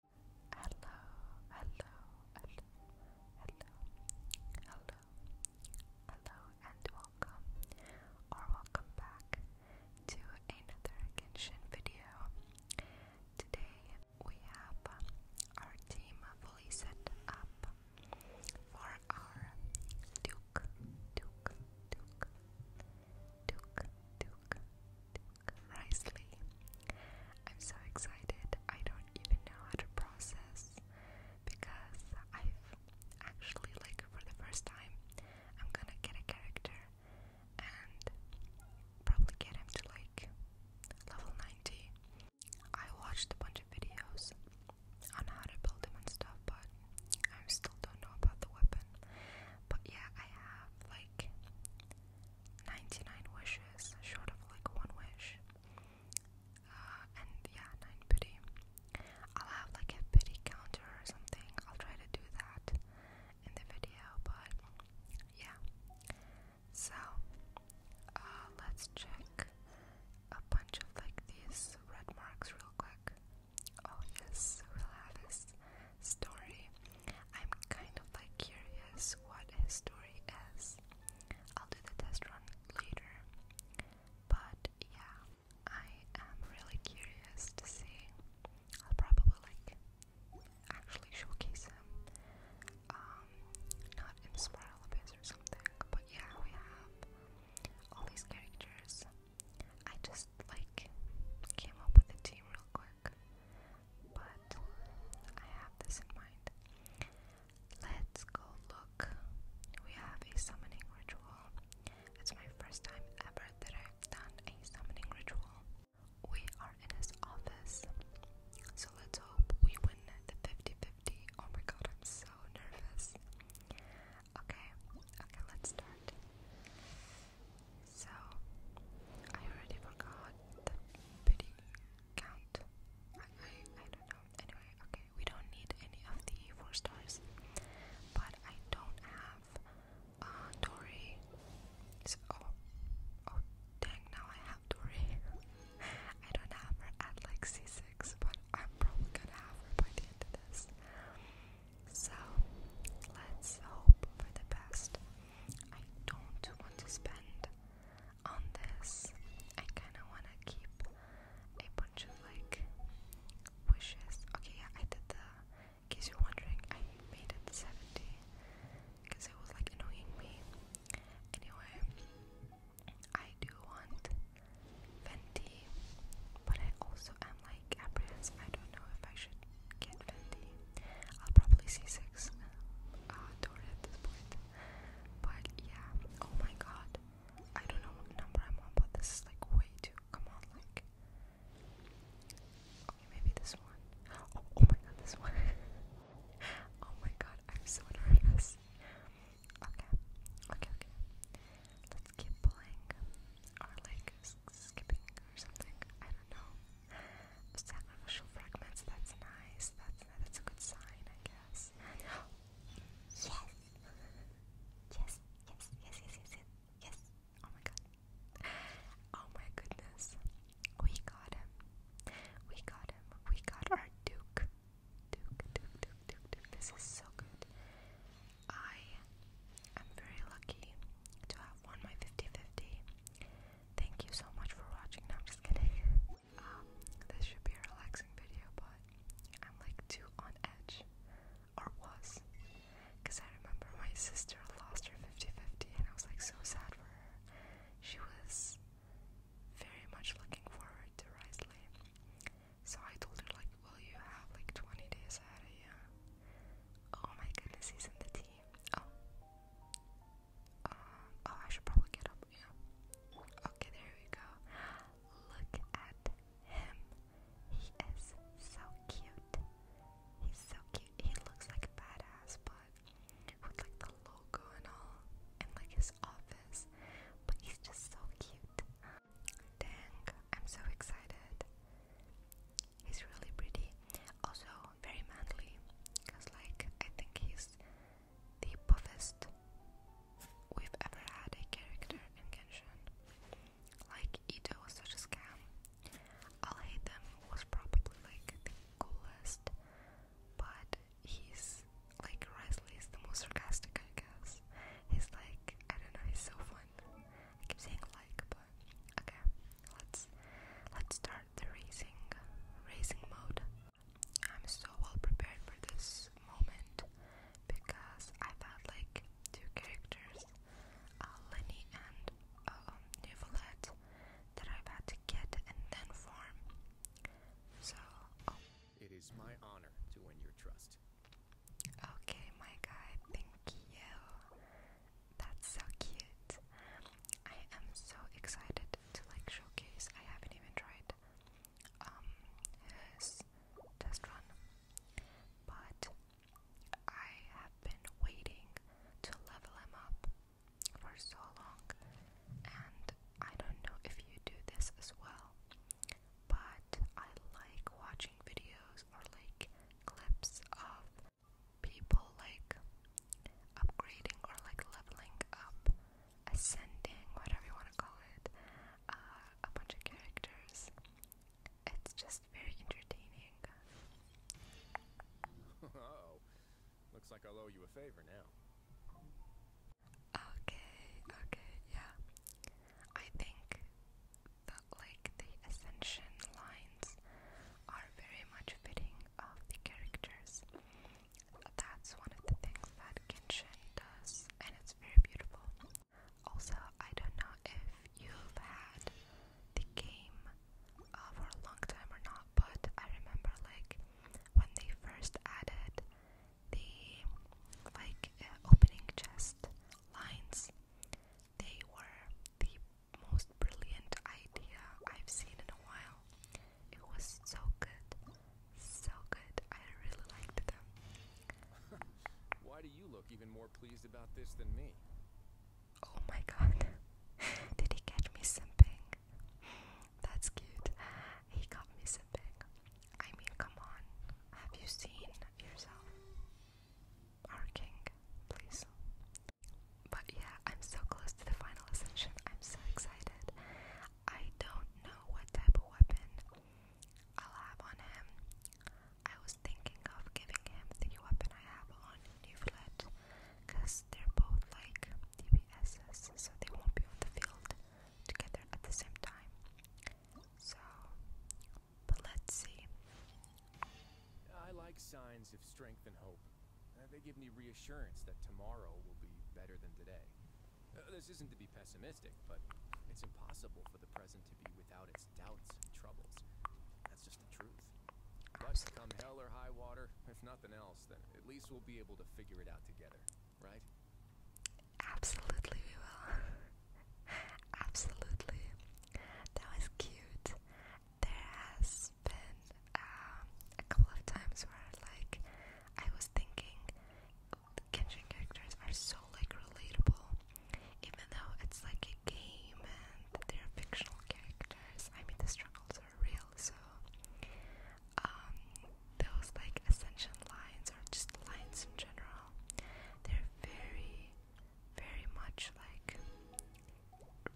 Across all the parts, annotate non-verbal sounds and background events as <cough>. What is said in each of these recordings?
Hello, hello, hello, hello, hello, hello, and welcome or welcome back to another Genshin video. Today we have our team fully set up for our Duke, Duke, Duke, Duke, Duke, nicely. I'm so excited. I don't even know how to process because I've actually like for the first time I'm gonna get a character and probably get him to like level 90. I watched a bunch of videos on how to build him and stuff, but I still don't know about the weapon. But yeah, I have like 99 wishes, short of like one wish. Uh, and yeah, 9 pity. I'll have like a pity counter or something. I'll try to do that in the video, but yeah. So, uh, let's check a bunch of like these red marks real quick. Oh, yes, we'll story. I'm kind of like curious what his story is. I'll do the test run later. But yeah, I am really curious to see. I'll probably like actually showcase him. Um, not in Spiralabase or something. But yeah, we have all these characters. I just like came up with a team real quick but I have this in mind. Let's go look. We have a summoning ritual. It's my first time ever that I've done a summoning ritual. We are in his office, so let's hope we win the 50 Oh my god, I'm so nervous. Okay, okay, let's start. So I already forgot the pity count. I, I don't know. Anyway, okay, we don't need any of the four stars. But I don't have uh, Dory. oh oh dang now I have Dory. <laughs> I don't have her at like C six, but I'm probably gonna have her by the end of this. So let's hope for the best. I don't want to spend on this. I kind of want to keep a bunch of like wishes. Okay, yeah, I did the. In case you're wondering, I made it 70 because it was like annoying me. Anyway, I do want Fenty, but I also am like apprehensive. I don't know if I should get 50. I'll probably see 6 uh, door at this point. But yeah, oh my god. I don't know what number I'm on, but this is like way too. Come on, like. maybe this one. Oh, oh, my god, this one. <laughs> oh my god, I'm so nervous. Okay, okay, okay. Let's keep playing. Or like skipping or something. I don't know. Sacrificial fragments, that's nice. That's that's a good sign, I guess. <gasps> Yes! Yes, yes, yes, yes, yes, yes, Oh my god. Oh my goodness. We got him. We got him. We got our Duke. Duke, Duke, Duke, Duke, This is so good. I am very lucky to have won my 50 Thank you so much for watching. I'm just kidding. Um, this should be a relaxing video, but I'm like too on edge, or was, because I remember my sister lost her 50 and I was like so sad for her. She was very much looking forward to Risley, so I told her like, "Will you have like 20 days out of yeah?" Uh, oh my goodness, he's in the Oh. Uh, oh, I should probably get up. Okay, there we go. Look at him. He is so cute. He's so cute. He looks like a badass, but with like the logo and all, and like his office. But he's just so cute. Dang, I'm so excited. He's really pretty, also very manly, cause like I think he's the buffest we've ever had a character in Genshin. Like Ito was such a scam. I'll was probably like the coolest, but he's like Risley is the most sarcastic, I guess. He's like I don't know, he's so fun. I keep saying like, Okay, let's let's start the racing racing mode. I'm so well prepared for this moment because I've had like two characters, uh, Lenny and uh, um, Nivolette, that I've had to get and then form. So. Oh. It is my honor to win your trust. Okay, my guy, thank you. That's so cute. I am so excited to like showcase. I haven't even tried um his test run, but I have been waiting to level him up for so long, and I don't know if you do this as well, but I like watching videos or like clips of people like upgrading or like leveling up, ascending, whatever you want to call it, uh, a bunch of characters. It's just very entertaining. looks like i owe you a favor now. Okay, okay, yeah. I think that like the ascension lines are very much fitting of the characters. That's one of the things that Genshin does, and it's very beautiful. Also, I don't know if you've had the game uh, for a long time or not, but I remember like when they first added the like uh, opening chest lines, they were the most brilliant idea I've seen in a while. It was so good, so good. I really liked them. Why do you look even more pleased about this than me? Oh my god. <laughs> Did he catch me simping? <laughs> That's cute. He got me simping. I mean, come on. Have you seen yourself? our king, please. But yeah, I'm so close to the final ascension. I'm so excited. I don't know what type of weapon I'll have on him. I was thinking of giving him the weapon I have on Nivlet, because they're both like DPSs, so they won't be on the field together at the same time. So, but let's see. I like signs of strength and hope. Uh, they give me reassurance that tomorrow will be better than today. Uh, this isn't to be pessimistic, but it's impossible for the present to be without its doubts and troubles. That's just the truth. But come hell or high water, if nothing else, then at least we'll be able to figure it out together, right? Absolutely, we will. <laughs> Absolutely. That was cute there has been um, a couple of times where like I was thinking Genshin characters are so like relatable, even though it's like a game and they're fictional characters. I mean, the struggles are real, so um, those like ascension lines are just lines in general, they're very very much like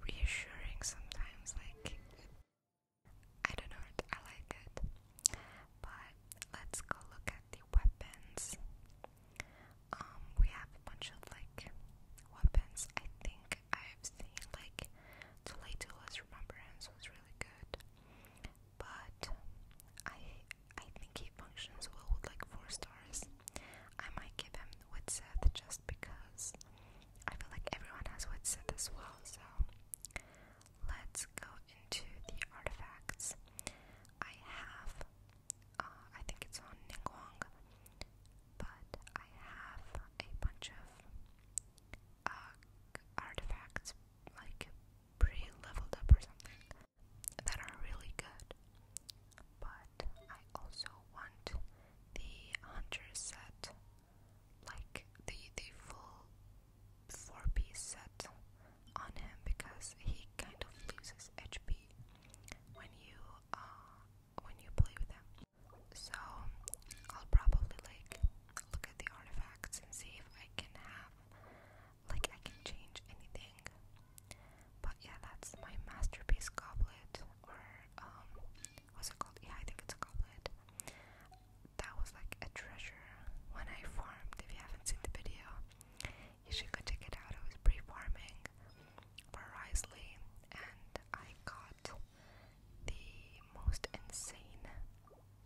reassuring sometimes. Like, I don't know, I like it. But let's go look at the weapons. Um, we have a bunch of like weapons. I think I've seen like Toledo's Remembrance was really good, but I I think he functions well with like four stars. I might give him with Seth just because I feel like everyone has what said as well. So let's go into the artifacts. I have, uh, I think it's on Ningguang, but I have a bunch of uh, artifacts like pre-leveled up or something that are really good. But I also want the hunter set, like the the full four piece set on him because he kind of loses HP when you uh, when you play with him. So I'll probably like look at the artifacts and see if I can have like I can change anything. But yeah, that's my masterpiece goblet or um what's it called? Yeah, I think it's a goblet. That was like a treasure when I farmed. If you haven't seen the video, you should go check it out. I was pre-farming for Risley and I got the most insane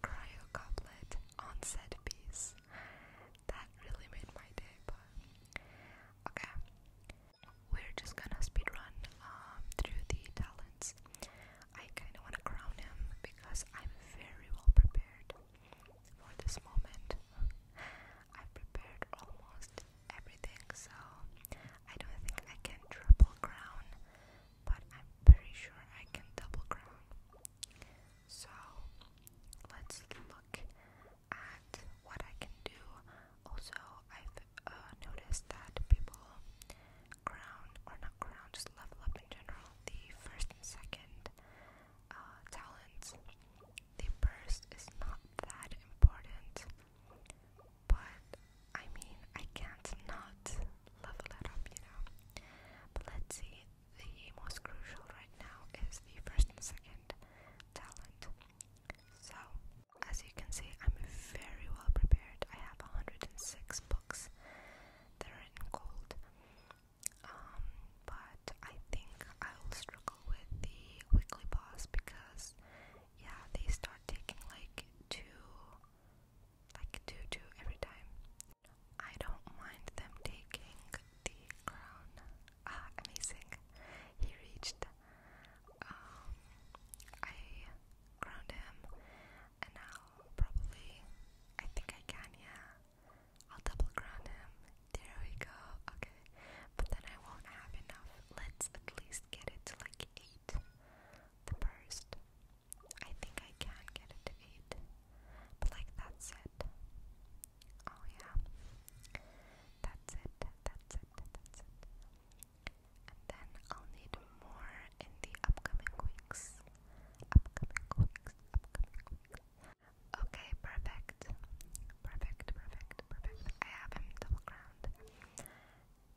cryo goblet piece. That really made my day, but okay we're just gonna speedrun um, through the talents. I kinda wanna crown him because I'm very well prepared for this moment. <laughs> i prepared almost everything, so I don't think I can triple crown, but I'm pretty sure I can double crown. So let's look at what I can do. Also, I've uh, noticed that people crown or not crown, just level up in general. The first and second uh, talents. The first is not that important, but I mean, I can't not level it up, you know. But let's see. The most crucial right now is the first and second talent. So as you can see, I'm very well prepared. I have 106 books that are in gold. Um, but I think I'll struggle with the weekly boss because, yeah, they start taking like two, like two, two every time. I don't mind them taking the crown. Ah, amazing! He reached um, I ground him, and now probably, I think I can, yeah, I'll double ground him, there we go, okay, but then I won't have enough, let's at least get it to like 8, the burst, I think I can get it to 8, but like that's it, oh yeah, that's it, that's it, that's it, then I'll need more in the upcoming weeks. Upcoming weeks, upcoming weeks. Okay, perfect. Perfect, perfect, perfect. I have him double ground.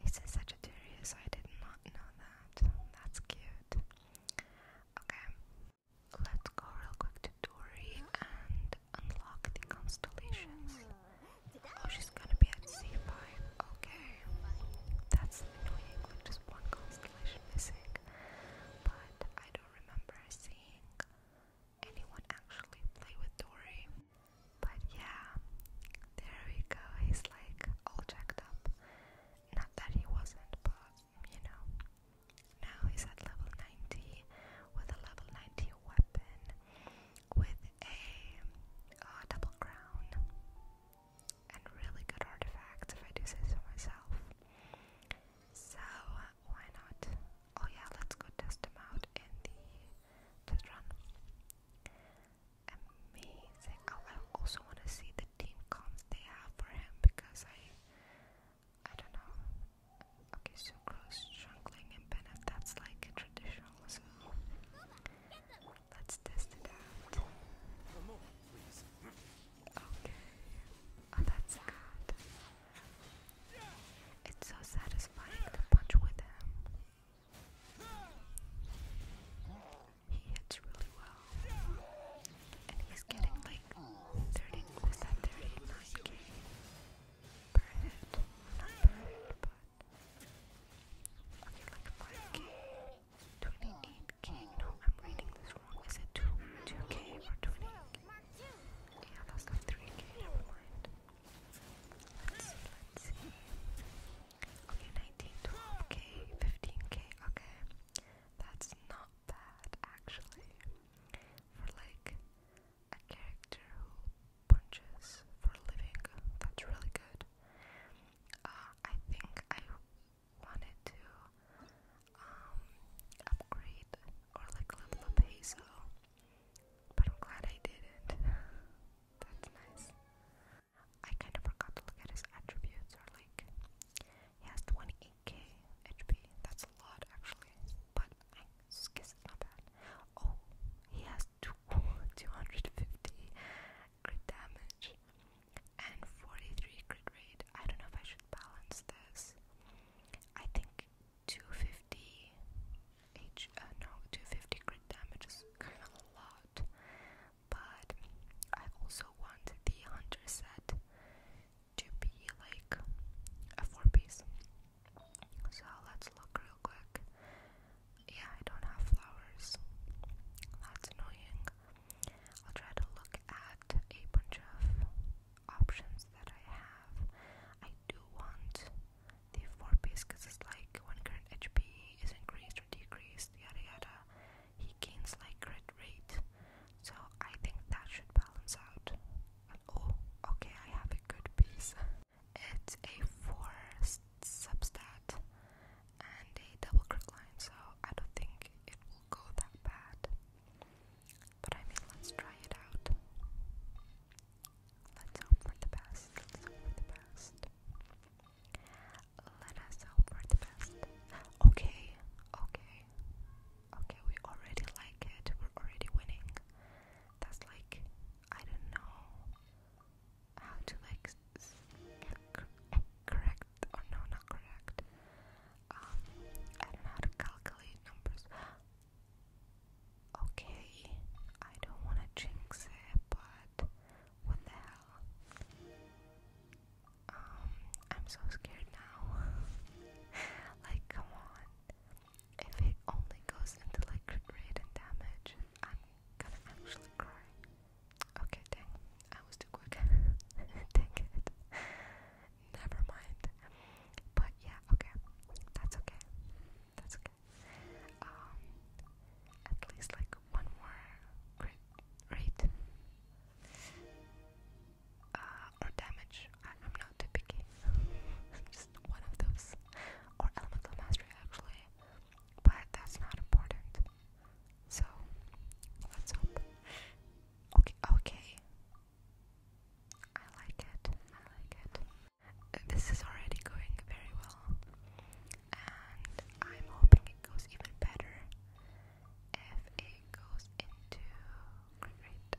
He's a Sagittarius, I did not know that. That's cute. Okay, let's go real quick to Dory and unlock the constellations. Oh, she's gonna be at C5. Okay. That's annoying, just one constellation missing. But I don't remember seeing anyone actually play with Dory. But yeah, there we go. He's like all jacked up. Not that he wasn't, but you know. Now he's at level 90 with a level 90 weapon with a uh, double crown and really good artifacts, if I do say so myself. So why not? Oh yeah, let's go test them out in the test run. Amazing! Oh, I also want to see the team comps they have for him because I, I don't know, Okay, so cross jungling and bennett, that's like a traditional, let's test it out. Okay, oh that's good. It's so satisfying to punch with him. He hits really well. And he's getting like 30, bird, not 28k, no, I'm reading this wrong, is it 2, 2k or 20? Yeah, that's like 3k, never mind. Okay, 19, 12k, 15k, okay. That's not bad, actually. For like, a character who punches for a living. That's really good. Uh, I think I wanted to um, upgrade or like level up Hazel, but I'm glad I didn't. <laughs> That's nice. I kind of forgot to look at his attributes or like he has 28k HP. That's a lot actually, but Skis it's not bad. Oh, he has two, <laughs> 250 crit damage and 43 crit rate. I don't know if I should balance this. I think 250 H, uh, no, 250 crit damage is a lot, but I also want the hunter set to be like a four piece. So let's look real quick. Yeah, I don't have flowers. That's annoying. I'll try to look at a bunch of options that I have. I do want the four piece because it's like when current HP is increased or decreased, yada yada, he gains like crit rate. So I think that should balance out. oh, okay, I have a good piece. <laughs> It's a forest substat and a double crit line, so I don't think it will go that bad. But I mean, let's try it out. Let's hope for the best. Let's hope for the best. Let us hope for the best. Okay, okay, okay, we already like it. We're already winning. That's like I don't know how to like correct or no, not correct. Um, I don't know how to calculate numbers. Okay, I don't want to jinx it, but what the hell? Um, I'm so scared now. <laughs> like, come on. If it only goes into like crit rate and damage, I'm gonna actually cry. Okay, dang, I was too quick. <laughs> dang it. Never mind. But yeah, okay. That's okay. That's okay. Um at least like one more crit rate. Uh, or damage. I'm not too picky. <laughs> one of those, or elemental mastery actually, but that's not important. So let's hope. Okay, okay. I like it. I like it. This is already going very well, and I'm hoping it goes even better if it goes into great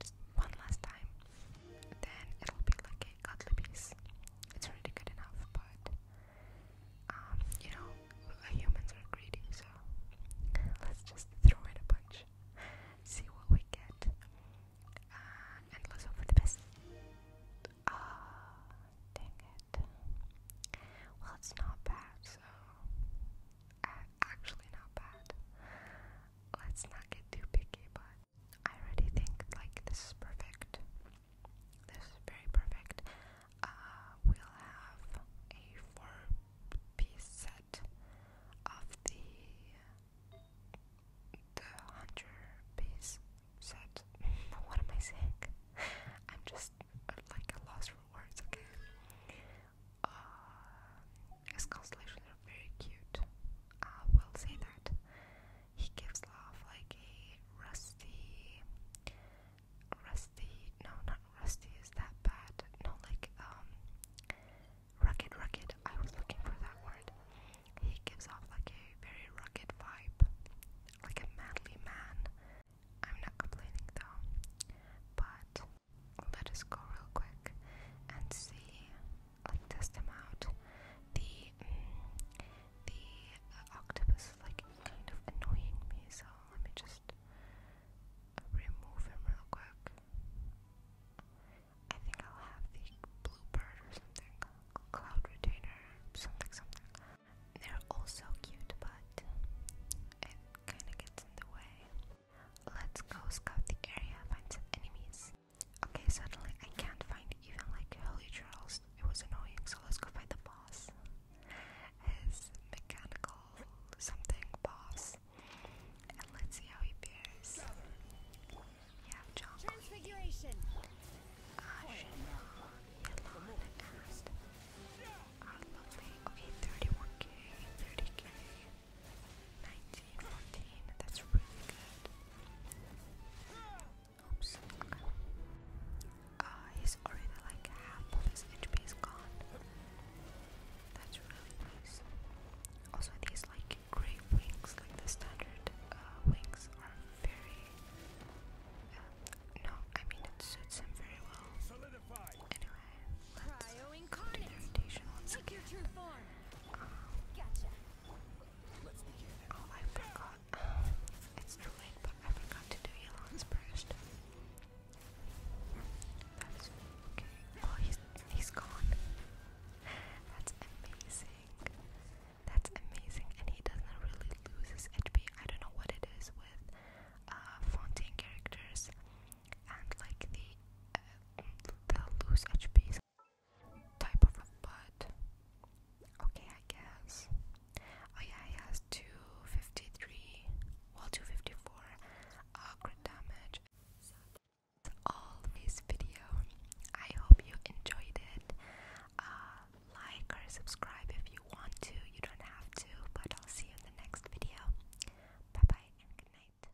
just one last time, then it'll be like a godly piece. It's already good enough, but um, you know, uh, humans are greedy, so let's just throw it a bunch, see what we get, uh, and let for the best. Ah, dang it. Well, it's not bad, so uh, actually not bad. Let's not get too picky, but I already think like this is perfect. This is very perfect. Uh, we'll have a four-piece set of the the hunter piece set. <laughs> what am I saying? I'm just like a lost for words. Okay. Uh, his constellation are very cute. I will say that. He gives off like a rusty, rusty. No, not rusty. Is that bad? No, like um, rugged, rugged. I was looking for that word. He gives off like a very rugged vibe, like a manly man. I'm not complaining though, but let us go real quick and see like test them out. The mm, the octopus is like kind of annoying me, so let me just remove him real quick. I think I'll have the bluebird or something, cloud retainer, something, something. They're also cute, but it kind of gets in the way. Let's go scout the area, find some enemies. Okay, suddenly I can't find even like Holy Charles. It was annoying, so let's go find the boss. His mechanical something boss. And let's see how he bears. Yeah, John. Transfiguration. Uh, Shenron, and our lovely. Okay, 31k, 30k. 19, 14, that's really good. Oops. Uh, he's already like half of his HP is gone. That's really nice. Also, these like great wings, like the standard uh, wings, are very. Um, no, I mean it suits him very well. Anyway, let's do the rotation once Let's begin. Oh, I forgot. it's too late, but I forgot to do Elon's burst. That's okay. Oh, he's he's gone. That's amazing. That's amazing, and he doesn't really lose his HP. I don't know what it is with uh, Fontaine characters and like the uh, lose HPs type of a Okay, I guess. Oh yeah, he has 253, well 254 uh, damage. So that's all this video. I hope you enjoyed it. Uh, like or subscribe if you want to. You don't have to, but I'll see you in the next video. Bye bye and good night.